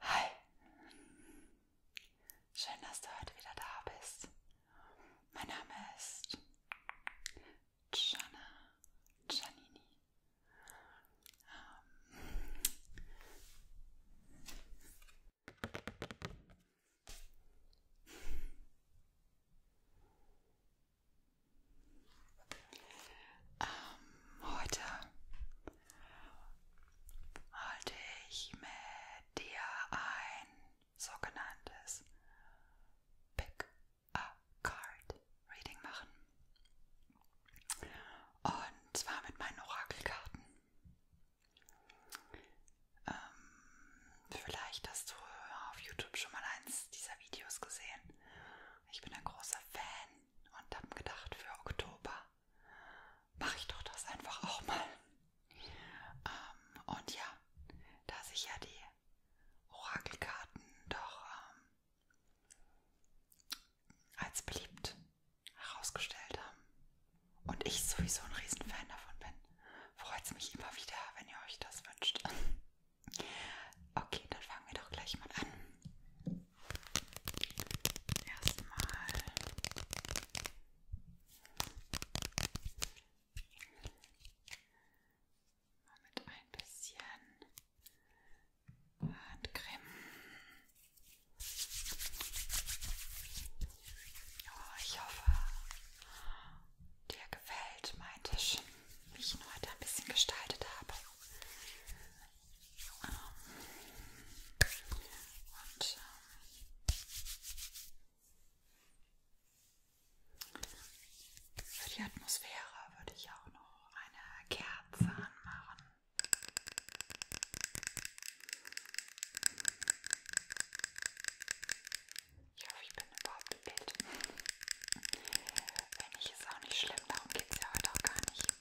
Hi, schön, dass du heute wieder da bist. Mein Name ist Gianna Giannini. Ähm ähm, heute wollte ich mit dir ein sogenanntes Pick a Card Reading machen. Und zwar mit meinen Orakelkarten. Ähm, vielleicht hast du auf YouTube schon mal eins dieser Videos gesehen. Ich bin ein großer Fan und habe gedacht, für Oktober mache ich doch das einfach auch mal. Ähm, und ja, da sich ja die Orakelkarten doch ähm, als beliebt herausgestellt haben und ich sowieso ein Riesenfan davon bin, freut es mich immer wieder, wenn ihr euch das wünscht. Okay, dann fangen wir doch gleich mal an. Erstmal mal mit ein bisschen Handcreme. Oh, ich hoffe, Dir gefällt mein Tisch, wie ich ihn heute ein bisschen gestaltet habe. Ähm, und ähm, für die Atmosphäre würde ich auch noch eine Kerze anmachen. Ich hoffe, ich bin überhaupt im Bild. Wenn nicht, ist auch nicht schlimm. Darum geht es ja heute auch gar nicht.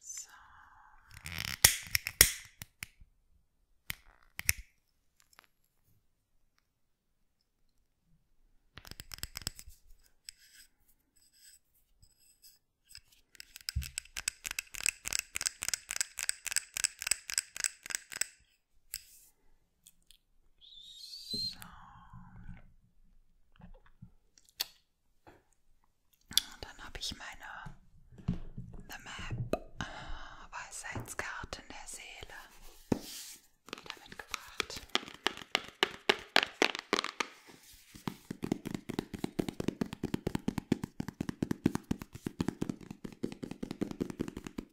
So. So, so. Und dann habe ich meine The Map äh, Weisheitskarten der Seele wieder mitgebracht.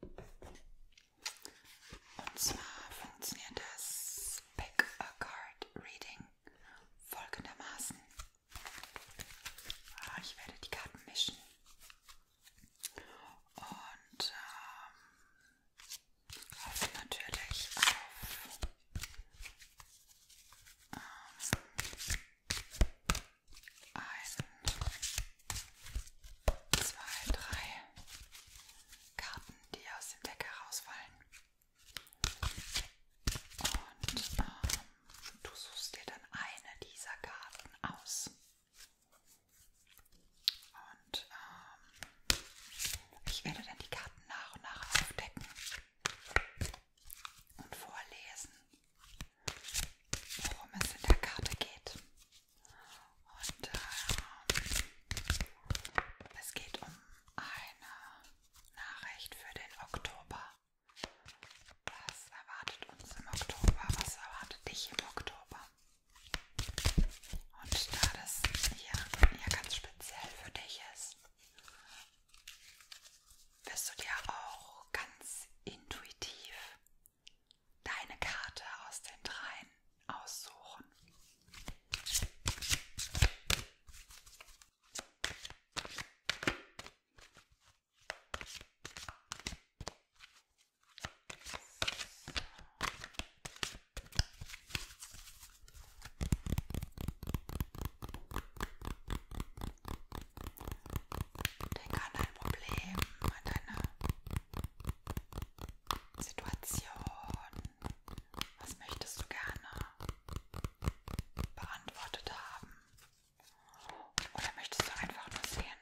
Und zwar funktioniert das Pick a Card Reading folgendermaßen. Ah, ich werde die Karten mischen. Und ähm, hoffe natürlich auf ähm, ein zwei, drei Karten, die aus dem Deck herausfallen. Und ähm, du suchst dir dann eine dieser Karten aus. Und ähm, ich werde dann die Karten nach und nach aufdecken und vorlesen, worum es in der Karte geht. Und äh, es geht um eine Nachricht für den Oktober. Was erwartet uns im Oktober? Was erwartet dich im Oktober? Und da das hier ja ganz speziell für dich ist, wirst du dir auch ganz intuitiv deine Karte aus den dreien aussuchen. Denk an dein Problem, an deine Situation. Was möchtest du gerne beantwortet haben? Oder möchtest du einfach nur sehen,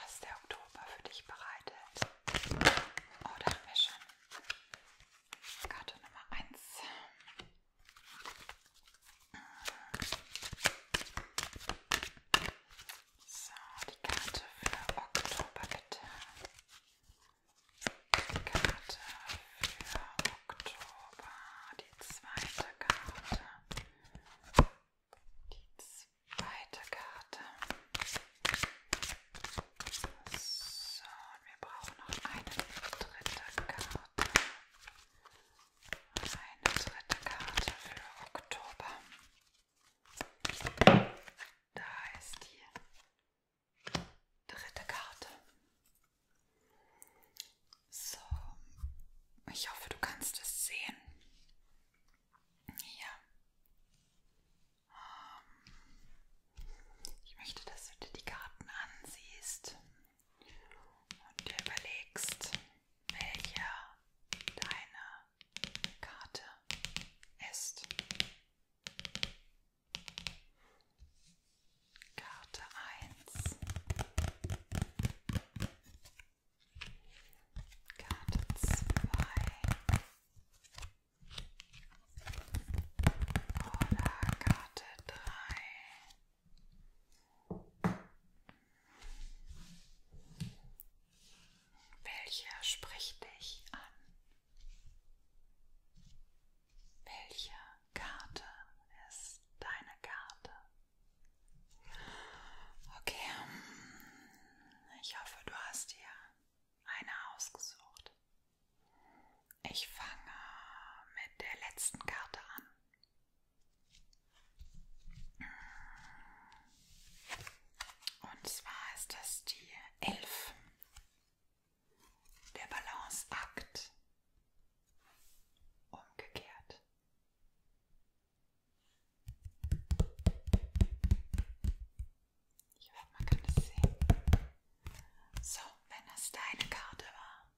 was der Oktober für dich bereitet? Oh, da haben wir schon Karte Nummer 1. So, die Karte für Oktober bitte. Die Karte für Oktober. Die zweite Karte. Die zweite Karte. So, und wir brauchen noch eine dritte Karte. Eine dritte Karte für Oktober. Da ist die dritte Karte. So, ich hoffe, du kannst es sehen. Hier. Ähm, ich möchte, dass du dir die Karten ansiehst und dir überlegst, welche deine Karte ist. Karte 1, Karte 2 oder Karte 3. Welcher spricht dich an? Welche Karte ist deine Karte? Okay, hm, ich hoffe, du hast dir eine ausgesucht. Ich fange mit der letzten Karte an. Und zwar ist das die 11. Der Balanceakt. Umgekehrt. Ich hoffe, man kann es sehen. So, wenn das deine Karte war,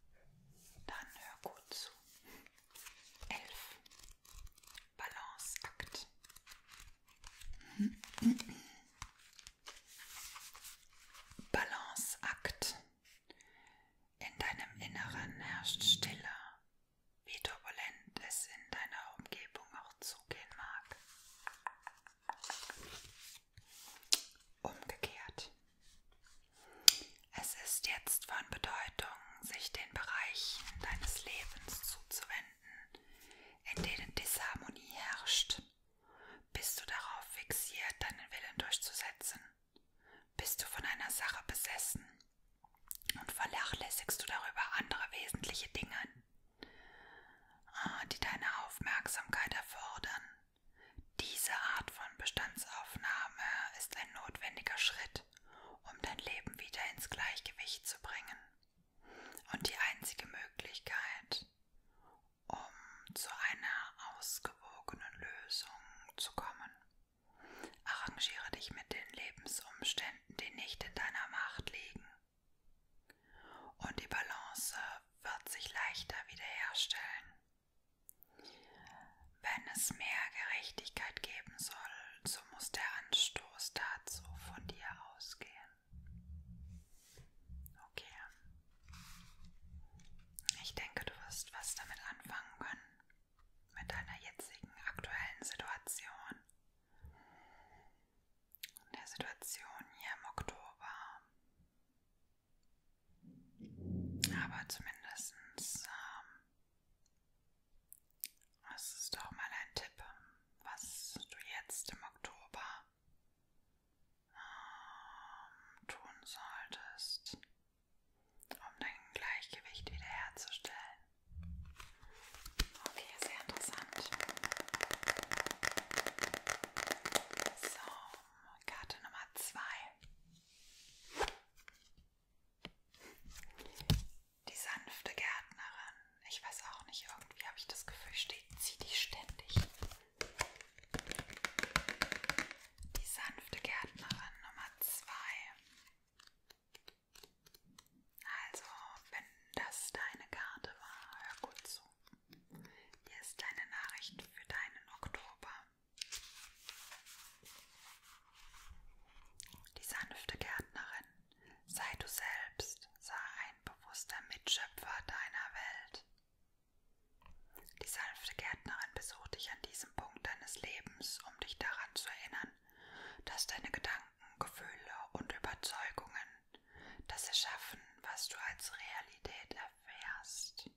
dann hör gut zu. 11. Balanceakt. Balanceakt. In deinem Inneren herrscht Stille, wie turbulent es in deiner Umgebung auch zugehen mag. Umgekehrt. Es ist jetzt von Bedeutung, sich den Bereichen deines Lebens zuzuwenden, in denen Disharmonie herrscht? Bist du darauf fixiert, deinen Willen durchzusetzen? Bist du von einer Sache besessen? Und vernachlässigst du darüber andere wesentliche Dinge, ah, die deine Aufmerksamkeit erfordern? Diese Art von Bestandsaufnahme ist ein notwendiger Schritt, um dein Leben wieder ins Gleichgewicht zu bringen. Und die einzige Möglichkeit, um zu einer ausgewogenen Lösung zu kommen. Arrangiere dich mit den Lebensumständen, die nicht in deiner Macht liegen. Und die Balance wird sich leichter wiederherstellen. Wenn es mehr Gerechtigkeit geben soll, so muss der Anstoß dazu von dir ausgehen. Okay. Ich denke, du wirst was damit anfangen können. Mit deiner jetzigen aktuellen Situation. Der Situation hier im Oktober. Aber zumindest ähm, das ist doch mal ein Tipp, was du jetzt im Oktober ähm, tun solltest, um dein Gleichgewicht wiederherzustellen. Okay, sehr interessant. So, Karte Nummer zwei. Die sanfte Gärtnerin. Ich weiß auch nicht, irgendwie habe ich das Gefühl, steht, zieht die ständig. Die sanfte Gärtnerin Nummer 2. Also, wenn das deine Karte war, hör gut zu. Hier ist deine Nachricht für deinen Oktober. Die sanfte Gärtnerin, sei du selbst, sei ein bewusster Mitschöpfer deiner Welt. Die sanfte Gärtnerin besucht dich an diesem Punkt deines Lebens, um dich daran zu erinnern, dass deine Gedanken, Gefühle und Überzeugungen das erschaffen, was du als Realität erfährst.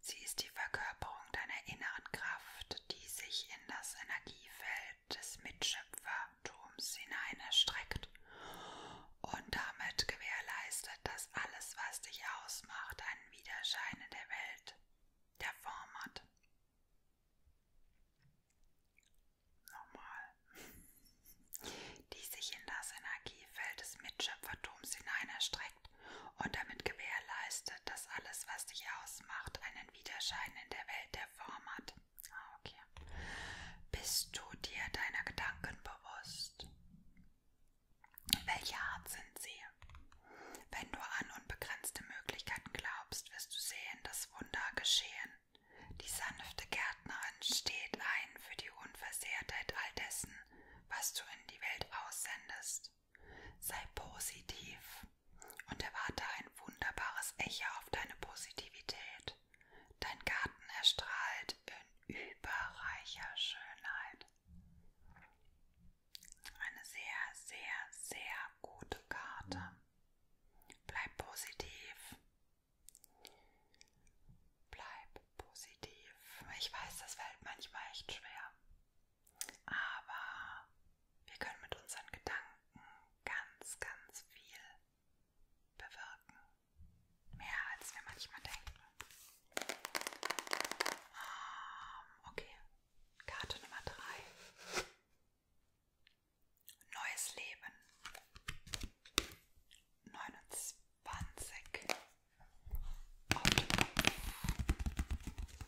Sie ist die Verkörperung deiner inneren Kraft, die sich in das Energiefeld des Mitschöpfertums hinein erstreckt und damit gewährleistet, dass alles, was dich ausmacht, einen Widerschein in der Welt der Form hat. Nochmal. Die sich in das Energiefeld des Mitschöpfertums hinein erstreckt und damit gewährleistet, dass alles, was dich ausmacht, einen Widerschein in der Welt der Form hat. Ah, okay. Bist du dir deiner Gedanken bewusst? Welche Art sind sie? Wenn du an unbegrenzte Möglichkeiten glaubst, wirst du sehen, dass Wunder geschehen. Die sanfte Gärtnerin steht ein für die Unversehrtheit all dessen, was du in die Welt aussendest. Sei positiv und erwarte ein wunderbares Echo auf deine Positivität. Dein Garten erstrahlt in überreicher Schönheit. Eine sehr, sehr, sehr gute Karte. Bleib positiv. Bleib positiv. Ich weiß, das fällt manchmal echt schwer. Aber wir können mit unseren Gedanken ganz, ganz viel bewirken. Mehr als wir manchmal denken. Ähm, okay, Karte Nummer 3. Neues Leben. 29. Auf dem Kopf.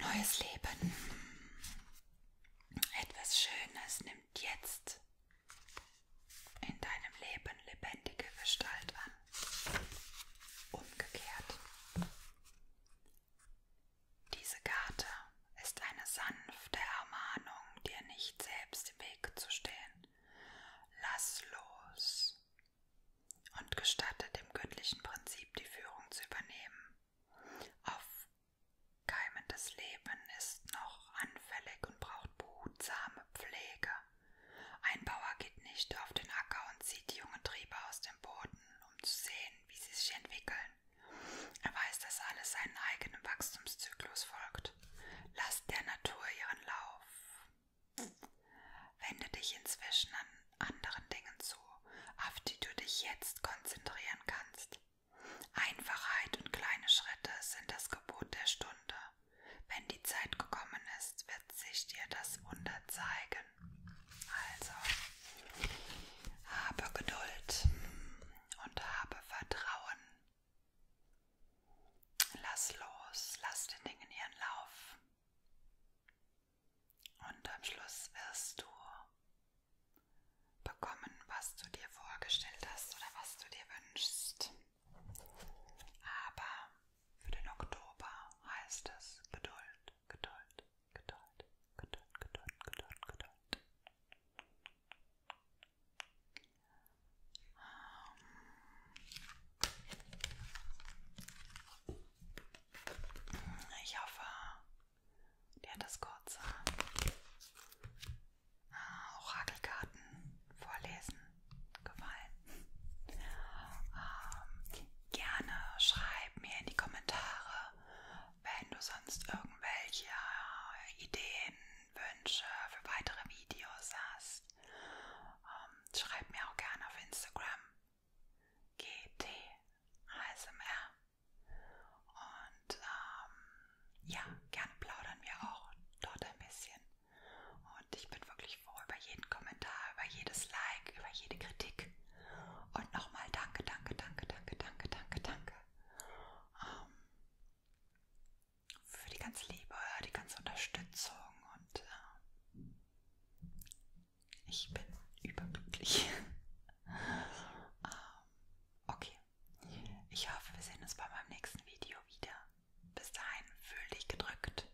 Neues Leben. Etwas Schönes nimmt jetzt in deinem Leben lebendige Gestalt an. Umgekehrt. Diese Karte ist eine sanfte Ermahnung, dir nicht selbst im Weg zu stehen. Lass los und gestatte dem göttlichen Prinzip die Führung zu übernehmen. Aufkeimendes Leben ist noch anfällig und braucht behutsame Pflege. Ein Bauer geht nicht auf den Acker und zieht die jungen Triebe aus dem Boden, um zu sehen, wie sie sich entwickeln. Er weiß, dass alles seinen eigenen Wachstumszyklus folgt. Lasst der Natur ihren Lauf. Wende dich inzwischen an anderen Dingen zu, auf die du dich jetzt konzentrieren kannst. Einfachheit und kleine Schritte sind das Gebot der Stunde. Wenn die Zeit gekommen ist, wird sich dir das Wunder zeigen. Also, habe Geduld und habe Vertrauen. Lass los, lass den Dingen ihren Lauf. Und am Schluss wirst du bekommen, was du dir vorgestellt hast oder was du dir wünschst. Aber für den Oktober heißt es Geduld, Geduld, Geduld, Geduld, Geduld, Geduld, Geduld. Ähm, ich hoffe, der hat das kurze äh, Orakelkarten vorlesen gefallen. Ähm, gerne schreib mir in die Kommentare, wenn du sonst irgendwelche Ideen, Wünsche für weitere Videos hast willst. Ähm, schreib mir auch gerne auf Instagram GT ASMR. Und ähm, ja, gerne plaudern wir auch dort ein bisschen. Und ich bin wirklich froh über jeden Kommentar, über jedes Like, über jede Kritik. Und nochmal danke, danke, danke, danke, danke, danke, danke. Ähm, für die ganze Liebe, die ganze Unterstützung und äh, ich bin überglücklich. ähm, okay, ich hoffe, wir sehen uns bei meinem nächsten Video wieder. Bis dahin, fühl dich gedrückt.